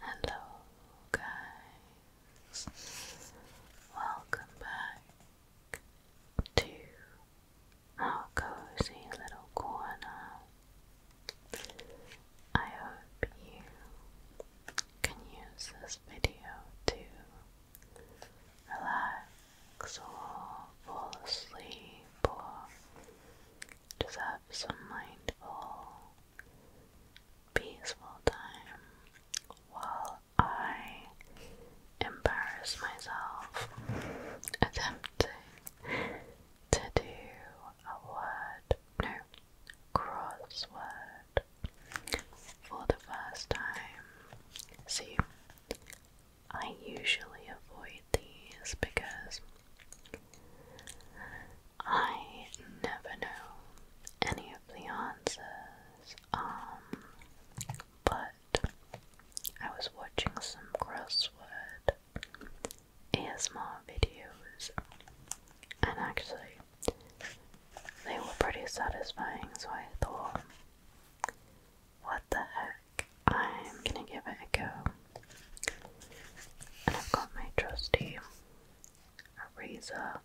Hello, guys. Welcome back to our cozy little corner. I hope you can use this video to relax or fall asleep or just have some mindful peaceful time while I embarrass myself attempting to do a word, no, crossword for the first time. See, I usually avoid these because I never know any of the answers, um, but I was watching some crossword ASMR videos, and actually, they were pretty satisfying, so I thought, what the heck, I'm gonna give it a go. And I've got my trusty a razor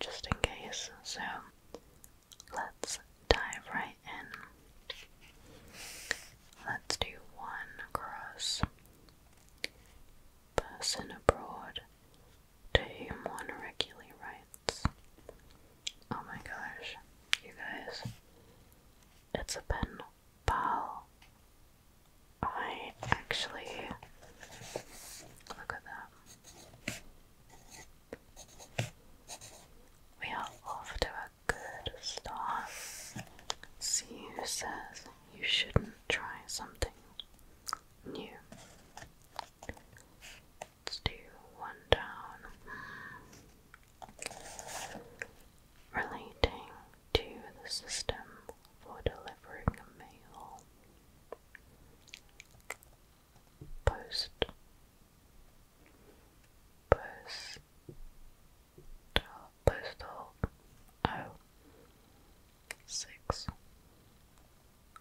just in case. So let's dive right in. Let's do one cross. Person abroad to one regularly writes. Oh my gosh, you guys. It's a pen pal. I actually look at that. We are off to a good start. See who says you shouldn't try something new. Let's do one down. Hmm. Relating to the system for delivering mail. Post. Post. Postal. Oh.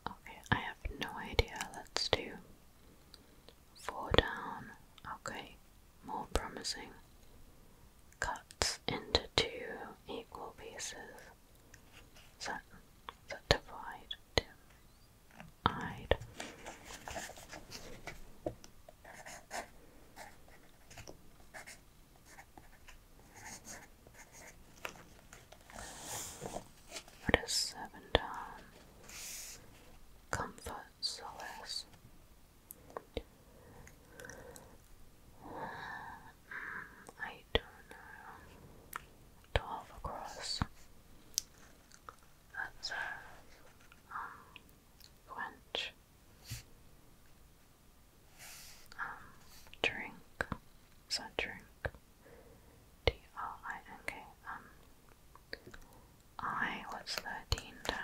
Okay, I have no idea. Let's do four down. Okay, more promising. Cuts into two equal pieces that, that divide dim-eyed. What is seven down? Comfort, solace, I don't know. Twelve across. That says quench. Uh, um, um drink. So drink. D R I N K. Um I what's thirteen down?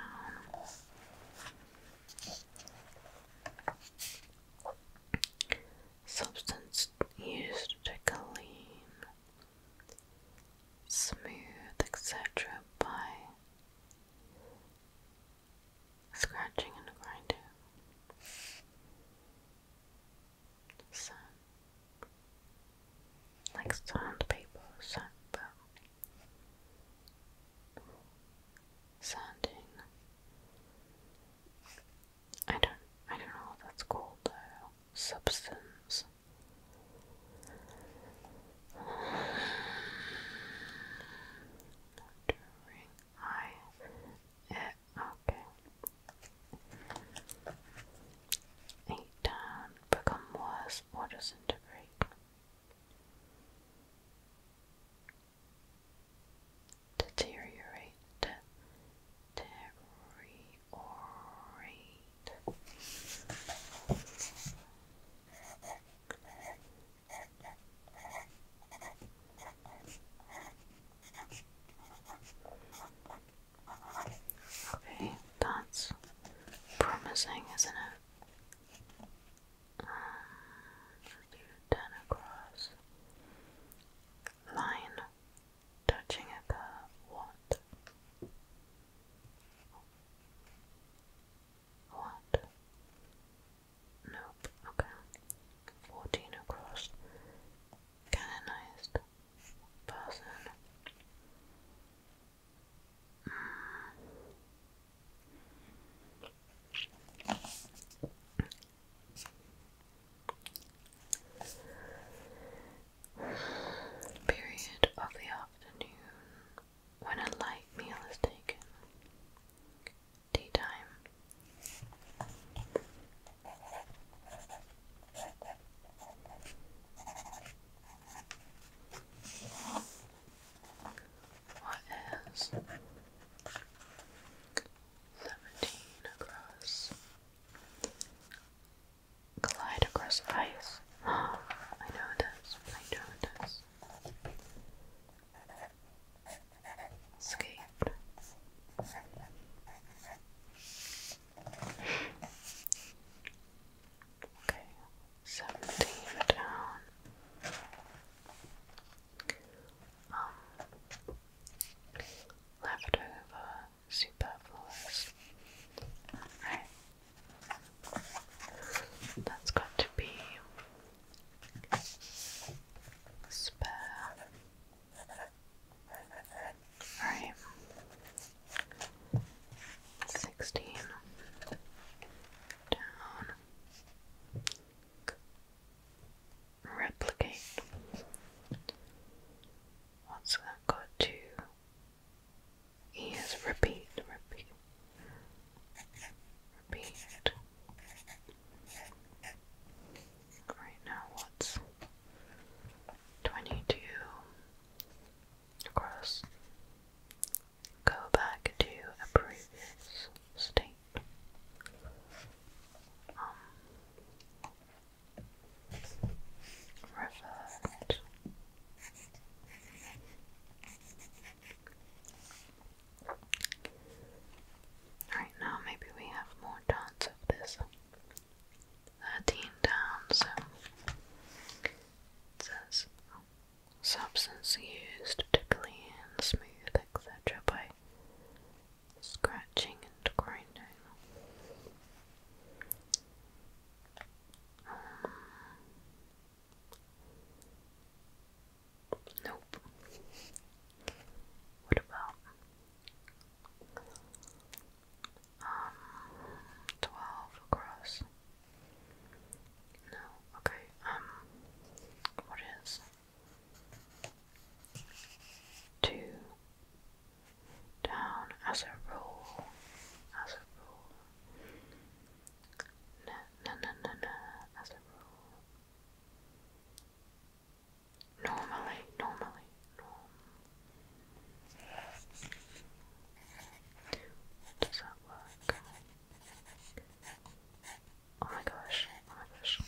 Substance used to clean, smooth, etc., by scratching and grinding. Sand, like sandpaper, sandpaper sounding. I don't I don't know what that's called Substance. During I yeah, okay. Eight down, become worse or disintegrate. Deteriorate, deteriorate. Okay, that's promising, isn't it? Um, ten across. Line touching a What? What? Nope. Okay. Fourteen across. Canonized person. Period of the afternoon when a light meal is taken. Tea time. What is seventeen across? Glide across ice. I know this. I know this. Escape. Okay, seventeen down. Um, leftover superfluous. Right, that's got to be spare. Right, sixteen down, replicate. What's that got to? is repeat, repeat, repeat. Right now, what's twenty-two across go back to a previous state. Um, revert. Right now, maybe we have more dance of this. 13 down, says, substance used to clean, smooth, etc. by scratching and grinding. Um, nope. What about um, twelve across? No, okay, um, what is two down as a rule, as a rule, no, no, no, no, no, as a rule, normally, normally, does that work? Oh my gosh, oh my gosh.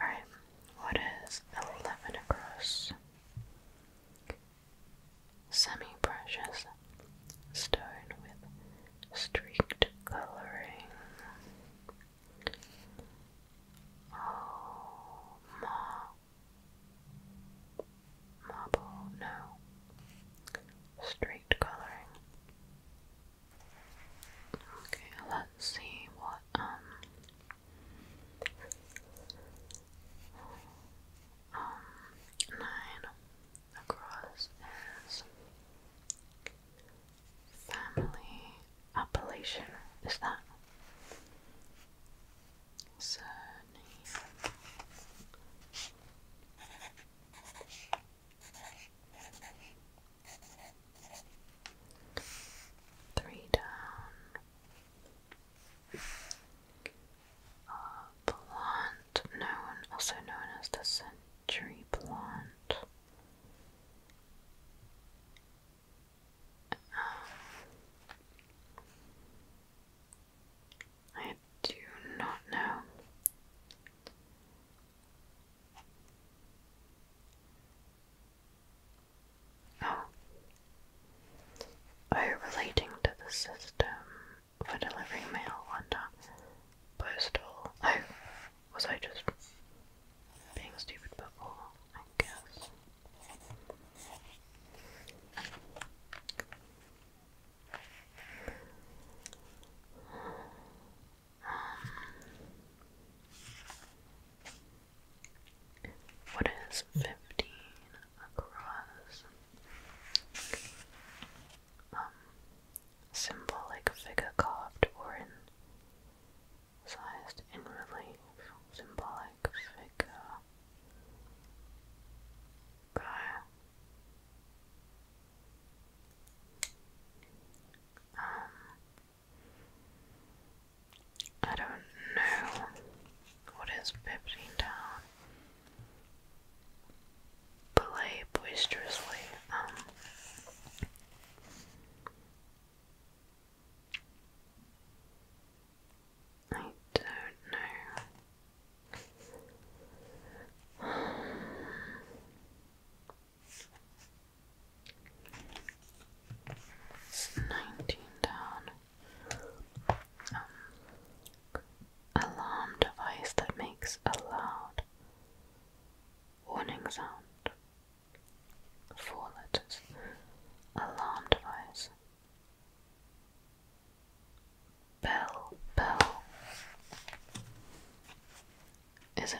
Alright, what is 11 across? Semi precious stone with streaked coloring. Oh my Marble, no. Straight colouring. Okay, let's see what, um, um, nine across is family appellation. Is that? surname. Three down. Uh, Blunt, known also known as the Century Blunt. Um, I do not know. Oh. Oh, relating to the system for delivering mail, wonder. Uh, postal. Oh, was I just being stupid before? I guess what is fifteen across? Um, symbolic figure carved or in in relief. Symbolic figure um, I don't know what is pivoting down. Play boisterously. Um, I don't know. nineteen down. Um, alarm device that makes a loud warning sound. Four letters. Alarm device Bell, bell. Is it?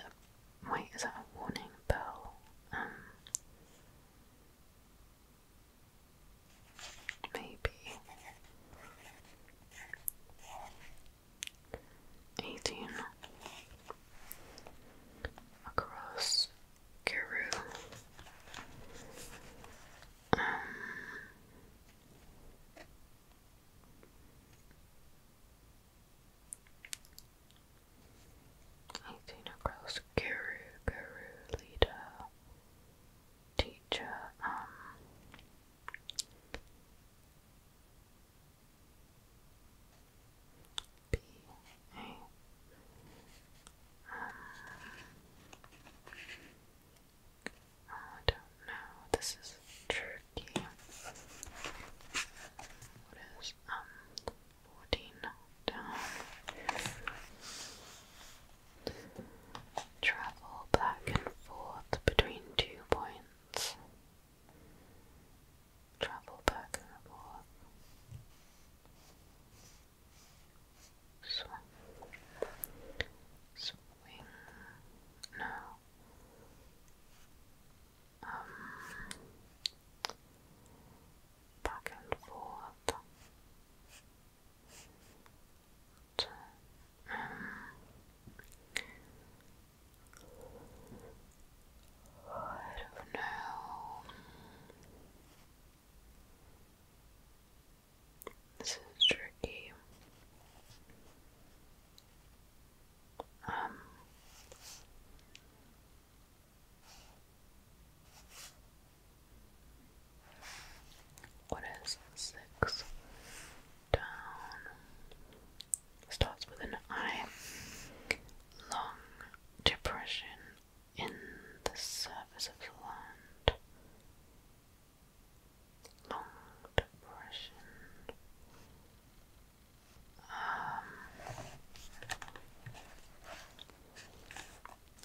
wait, is that a warning bell? Um, maybe. Eighteen across Guru um, i across guru, guru, leader, teacher, um, B, A, uh, I don't know. This is tricky. What is um fourteen down? Travel back and forth between two points. Travel back and forth. Swing. Swing. No. Um. Back and forth. Um. I don't this is tricky. Um what is six down? Starts with an I. Long depression in the surface of the land. Long depression. Um,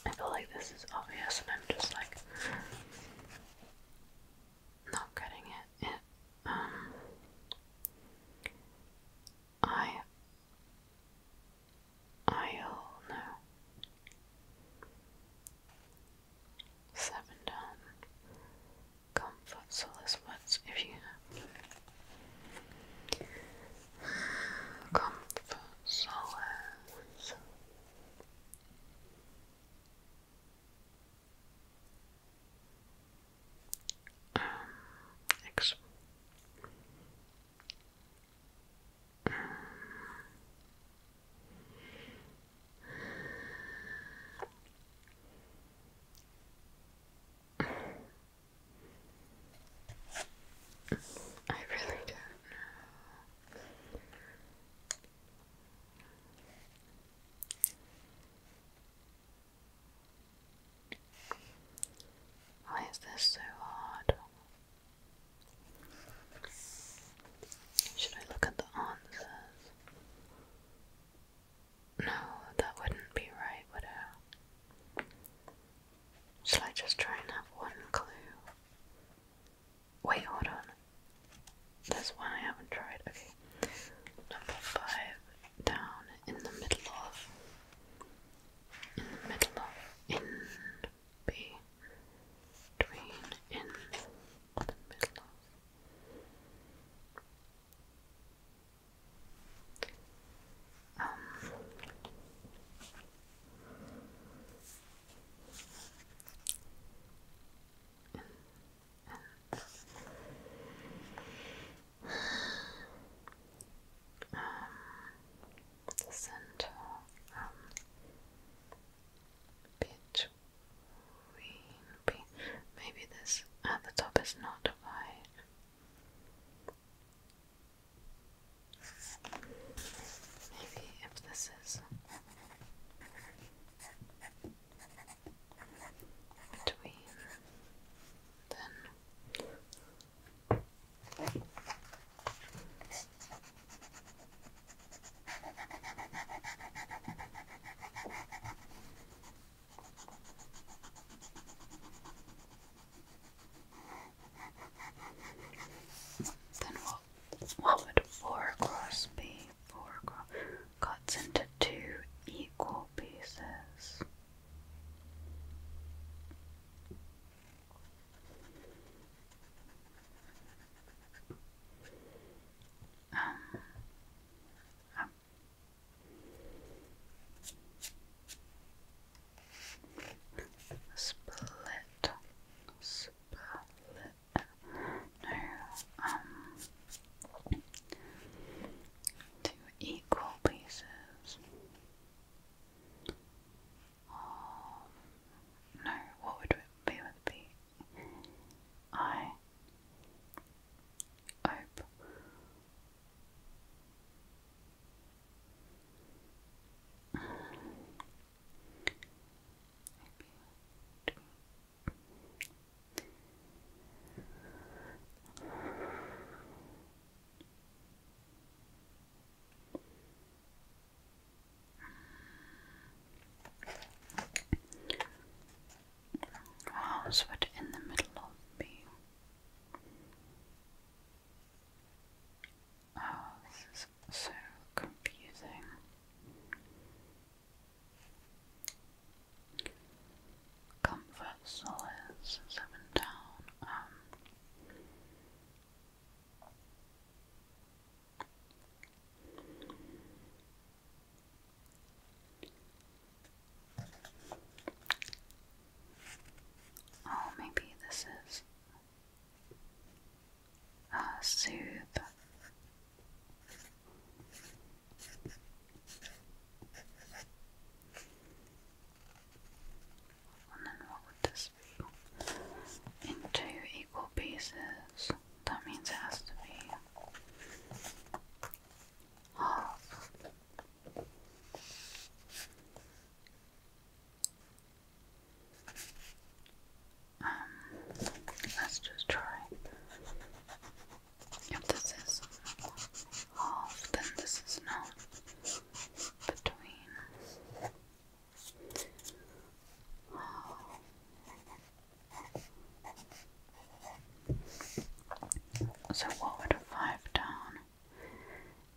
I feel like this is obvious, and I'm just like not getting it. um, I I'll know. Seven down. Comfort words if you have Um, ex I really don't know. Why is this so hard? Should I look at the answers? No, that wouldn't be right, would it? I just try and have one clue? Wait, hold on. There's one I haven't tried. Okay. Number five down in the middle of in the middle of in between in the middle um, um, center um, between maybe this at the top is not wide maybe if this is between then then what, what would 4 across be? 4 across cuts into two equal pieces. Um, um. Split, split. No, um, two equal pieces. Um, no, what would it be with the I hope maybe I Oh, How's what in the middle of me? Oh, this is so confusing. Comfort seven down. Um, Oh, maybe this is a soothe. And then what would this into equal pieces. That means it has to be half. Um, let's just try. If this is half, then this is not between. So, what would a five down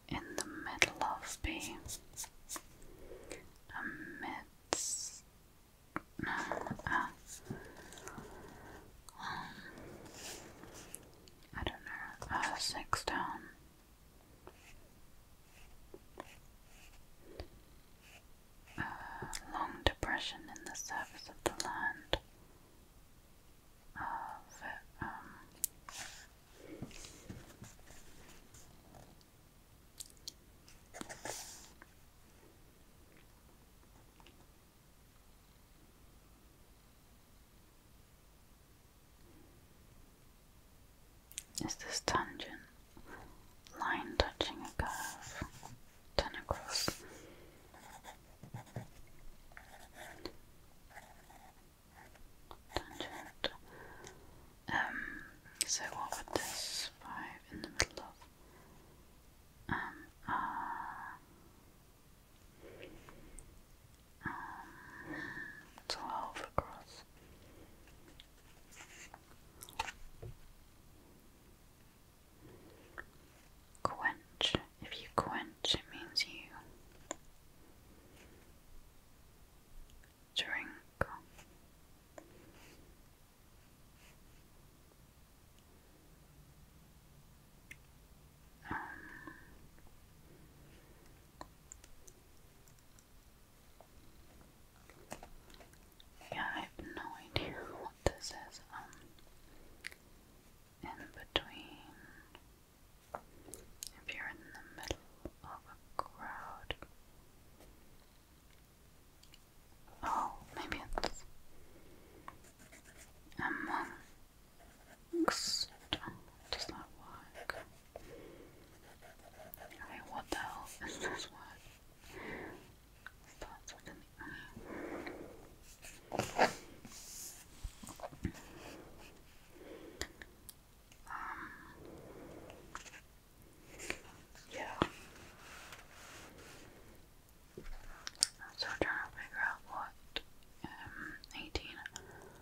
in the middle of be? A um, I don't know. Uh, six down a uh, long depression in the surface of the land. Um, is this tangent line touching a curve? Turn Tangent. Um, so what would this five in the middle of? Um, uh, twelve across. Quench. If you quench, it means you drink. Um, yeah, I have no idea what this is. Um, in between, if you're in the middle of a crowd. Oh, maybe it's among um, Next. Does that work? Okay, what the hell is this word? Um, yeah. i trying to figure out what um, 18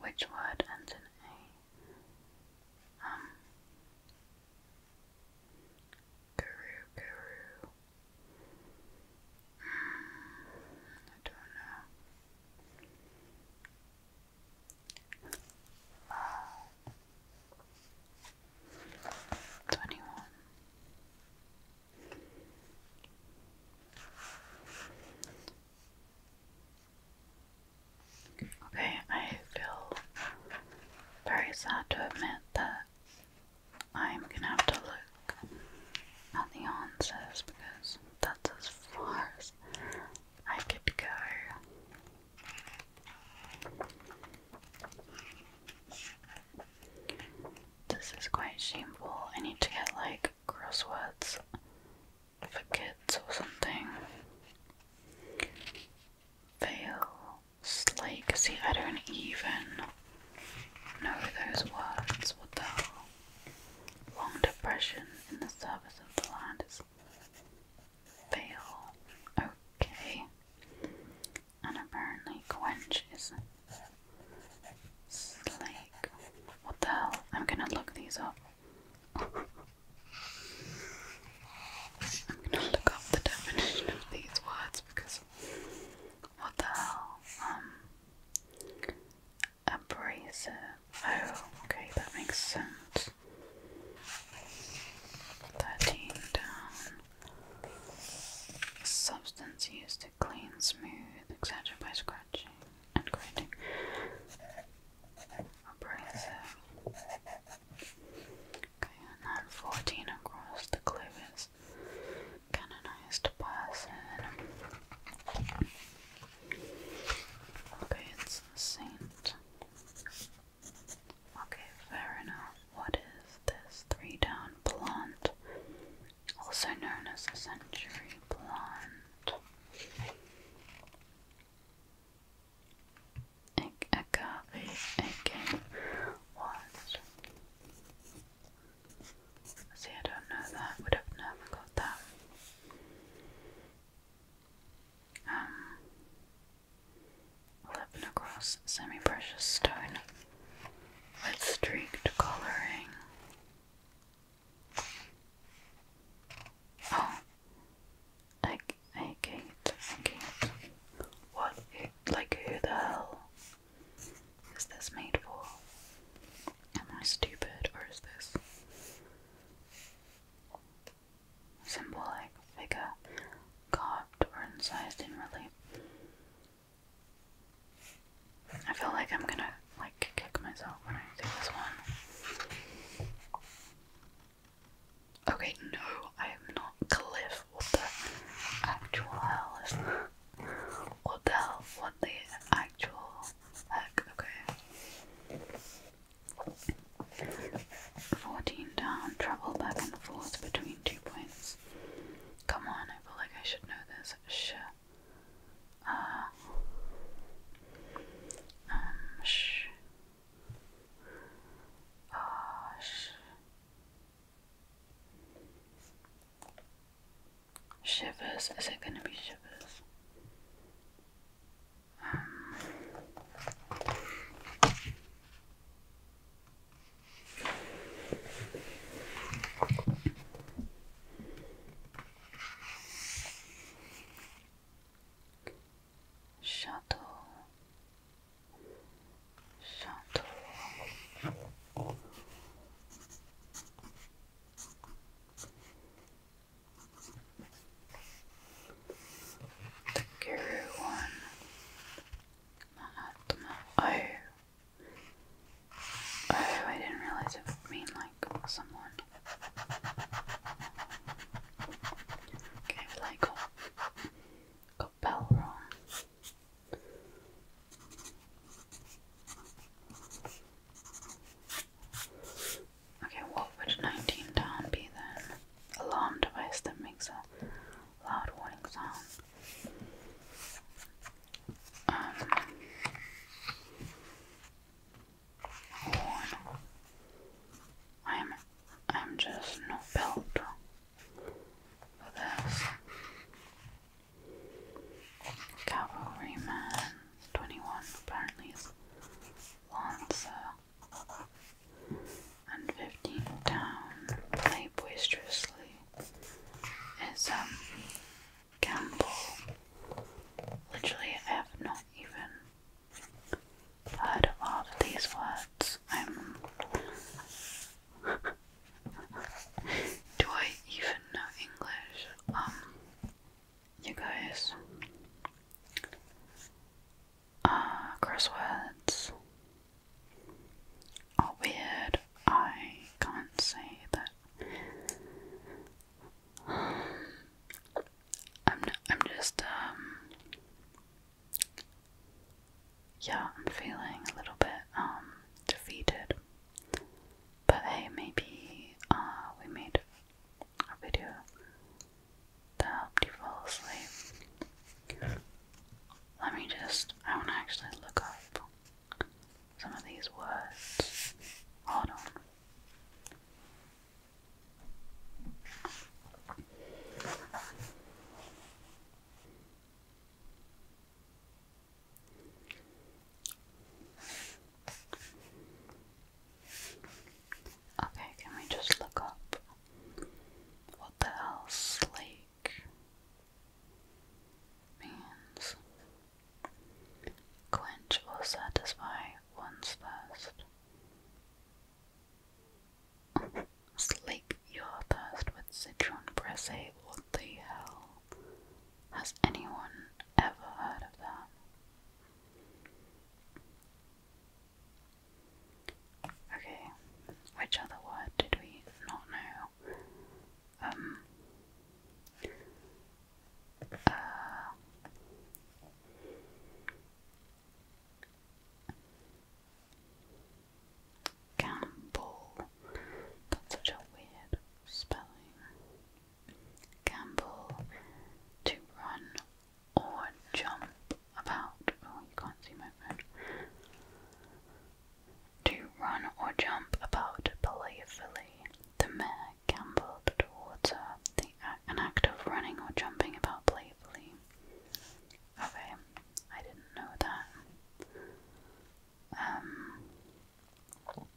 Which word ends in A? Guru, um, guru. Hmm, I don't know. Uh, twenty-one. Okay, I feel very sad to admit that I'm gonna have to look at the answers because that's as far as I could go. This is quite shameful. I need to get like crosswords for kids or something. Fail, slake. See, I don't even know those words. What the hell? Long depression in the service of the land is fail. Okay and apparently Quench is Slake. What the hell? I'm gonna look these up. I'm gonna look up the definition of these words because what the hell? Um abrasive. Oh, okay, that makes sense. Thirteen down. A substance used to clean, smooth, etc. by scratching and grating. Abrasive. Okay, and 14 across the cliff canonized person. Okay, it's saint. Okay, fair enough what is this three down plant, also known as a century plant. Agave again See, I don't know that, would have never got that. Um, 11 across semi-precious stone with streaked coloring. Oh, I, I can What, like who the hell is this made for? Am I stupid or is this symbolic figure carved or incised in relief? I feel like I'm gonna like kick myself when I do this one. Okay, no, I am not Cliff. What the actual hell is What the hell? What the actual heck? Okay. 14 down, travel back and forth between two points. Come on, I feel like I should know this. Sh. Uh. Um, sh. Uh, Shivers. Is it gonna be shivers? Um, Shuttle, shuttle, the one, Mahatma. Oh. Oh, I didn't realize it would mean like someone. Okay, but I got, got Bell wrong. Okay, what would 19 down be then? Alarm device that makes a loud warning sound. Um, I'm, I'm just not built for this. Cavalryman 21 apparently is Lancer and 15 down, play boisterously, is um, Gamble. Literally, I have not even heard of these words. I'm. Do I even know English? Um, you guys. Uh, crosswords are weird. I can't say that. I'm I'm just um, yeah, I'm feeling a little bit um, defeated. But hey, maybe uh, we made a video that helped you fall asleep. Let me just, I want to actually look up some of these words. Hold on. Okay, can we just look up what the hell slave means quench or satisfy one's thirst. Slake your thirst with citron pressé. What the hell? Has anyone ever heard of that? Okay, which other word did we not know? Um, uh, such a weird spelling. Gamble, to run or jump about oh you can't see my phone to run or jump about playfully. The mare gambled towards the, an act of running or jumping about playfully. Okay, I didn't know that. Um,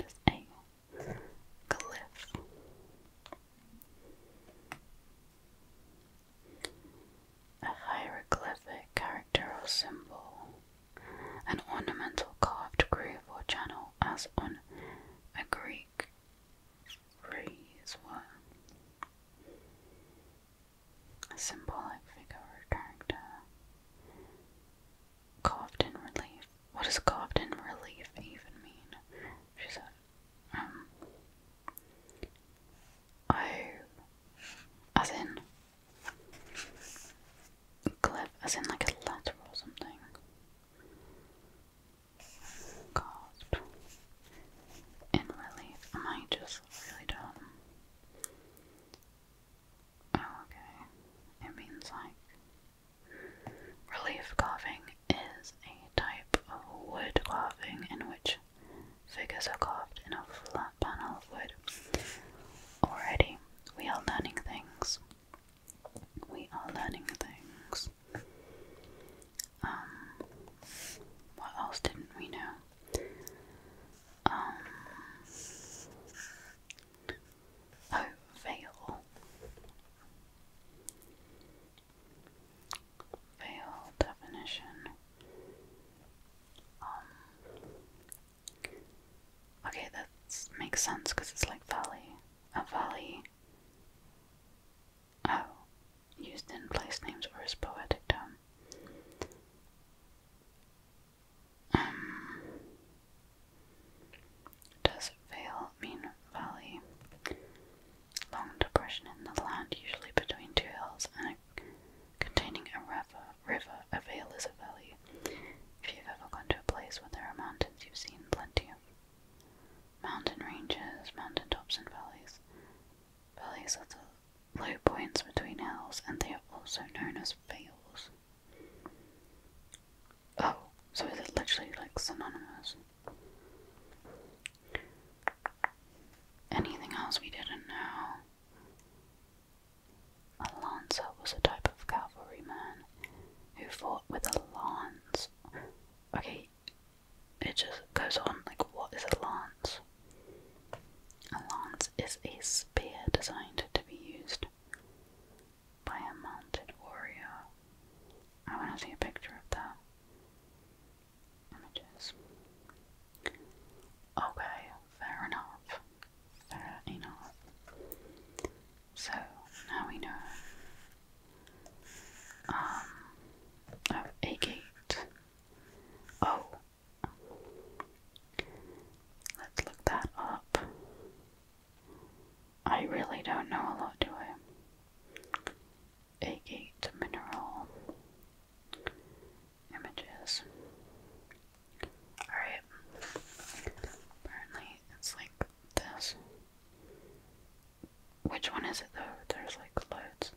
just a cliff a hieroglyphic character or symbol, an ornamental carved groove or channel, as on a Greek frieze were. A symbolic figure or character carved in relief. What does carved in relief even mean? She said, um, Oh, as in clip, as in like a letter or something. Carved in relief. Am I just really dumb? Oh, okay. It means like relief carving is a type of wood carving in which figures are carved in a flat panel of wood. Already, we are learning things. We are learning things. Um, what else didn't we know? Um, oh, veil. Veil definition. Um, okay, that makes sense because it's like valley. A valley. Oh. Used in place names or as poetic term. Um, does veil mean valley? long depression in the land, usually between two hills, and containing a river, a vale is a valley. If you've ever gone to a place where there are mountains, you've seen plenty of mountain ranges, mountain tops, and valleys. Valleys are the low points between hills, and they are also known as vales. Oh, so is it literally like synonymous? Anything else we didn't know? A lance was a type of cavalryman who fought with a lance. Okay, it just goes on like, what is a lance? A lance is a spear designed to be used by a mounted warrior. I want to see a picture of that images. Okay, fair enough. Fair enough. So now we know um oh, a gate. Oh let's look that up. I really don't know a lot, do I? agate mineral images. Alright. Apparently it's like this. Which one is it though? There's like loads.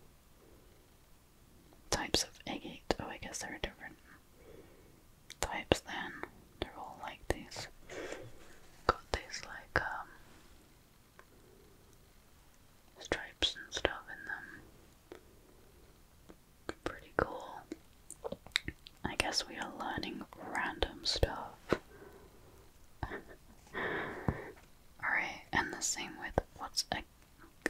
Types of agate. Oh, I guess there are different types then. They're all like these. Got these like, um, stripes and stuff in them. Pretty cool. I guess we are learning random stuff. Alright, and the same with what's a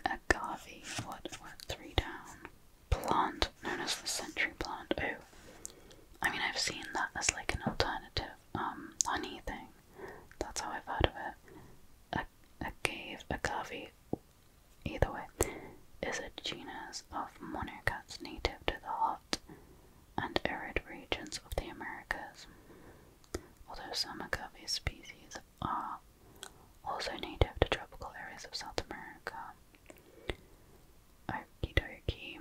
agave? What, what, three down? Plant, known as the century plant. Oh, I mean, I've seen that as like an alternative um honey thing. That's how I've heard of it. A, a cave, a covey, either way, is a genus of monocots native to the hot and arid regions of the Americas. Although some agave species are also native to tropical areas of South America. Okie dokie.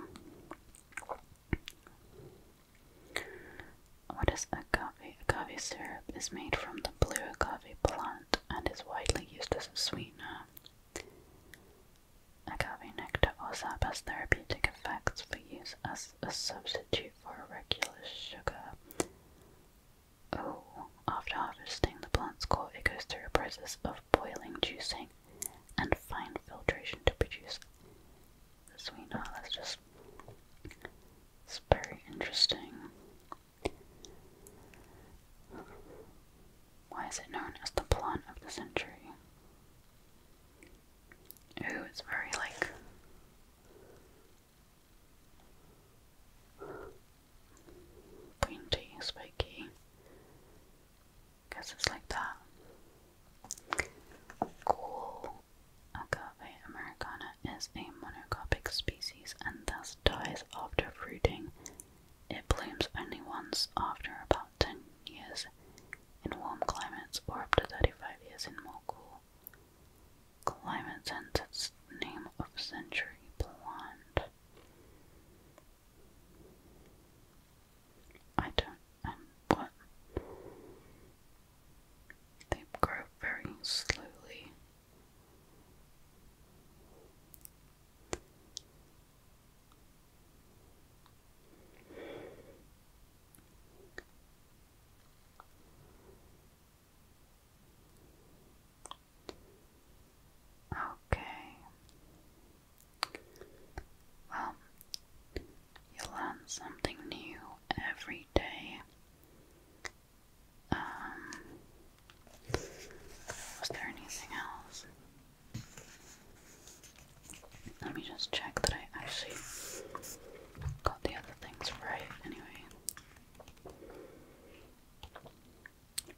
What is agave? Agave syrup is made from the blue agave plant and is widely used as a sweetener. Agave nectar also has therapeutic effects for use as a substitute for regular sugar. after harvesting, the plant's core it goes through a process of boiling, juicing, and fine filtration to produce so we that's just it's very interesting. Why is it known as the plant of the century? Ooh, it's very like pointy, spiky. Guess it's like that. Cool. Agave americana is a monocopic species and thus dies after fruiting. It blooms only once after about 10 years in warm climates or up to 35 years in more cool climates, hence its name of century plant. I don't and They grow very slowly. Okay. Well, you learn something new every day. Um, was there anything else? Let me just check that I actually got the other things right anyway.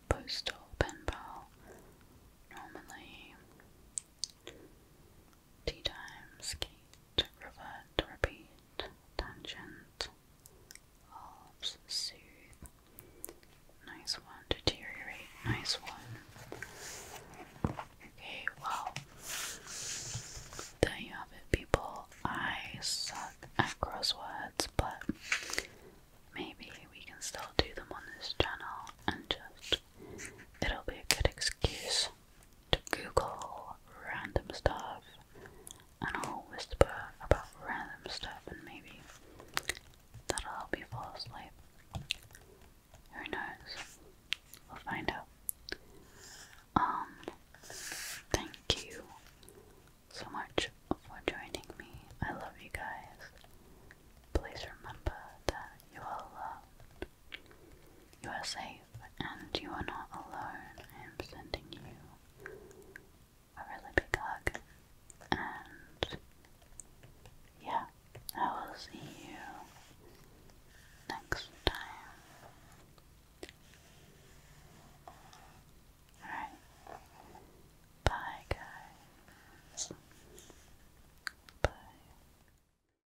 Postal, pen pal, normally, Tea time. Skate. revert, repeat, tangent, Alps. soothe. Nice one, deteriorate, nice one. Okay, well, there you have it, people. I suck at crosswords, but maybe we can still do them on this channel and just. It'll be a good excuse to Google random stuff and I'll whisper about random stuff and maybe that'll help you fall asleep. Who knows? We'll find out. Um, thank you so much for joining me. I love you guys. Please remember that you are loved, and you are not alone. I am sending you a really big hug. And yeah, I will see you next time. Alright. Bye, guys. Bye.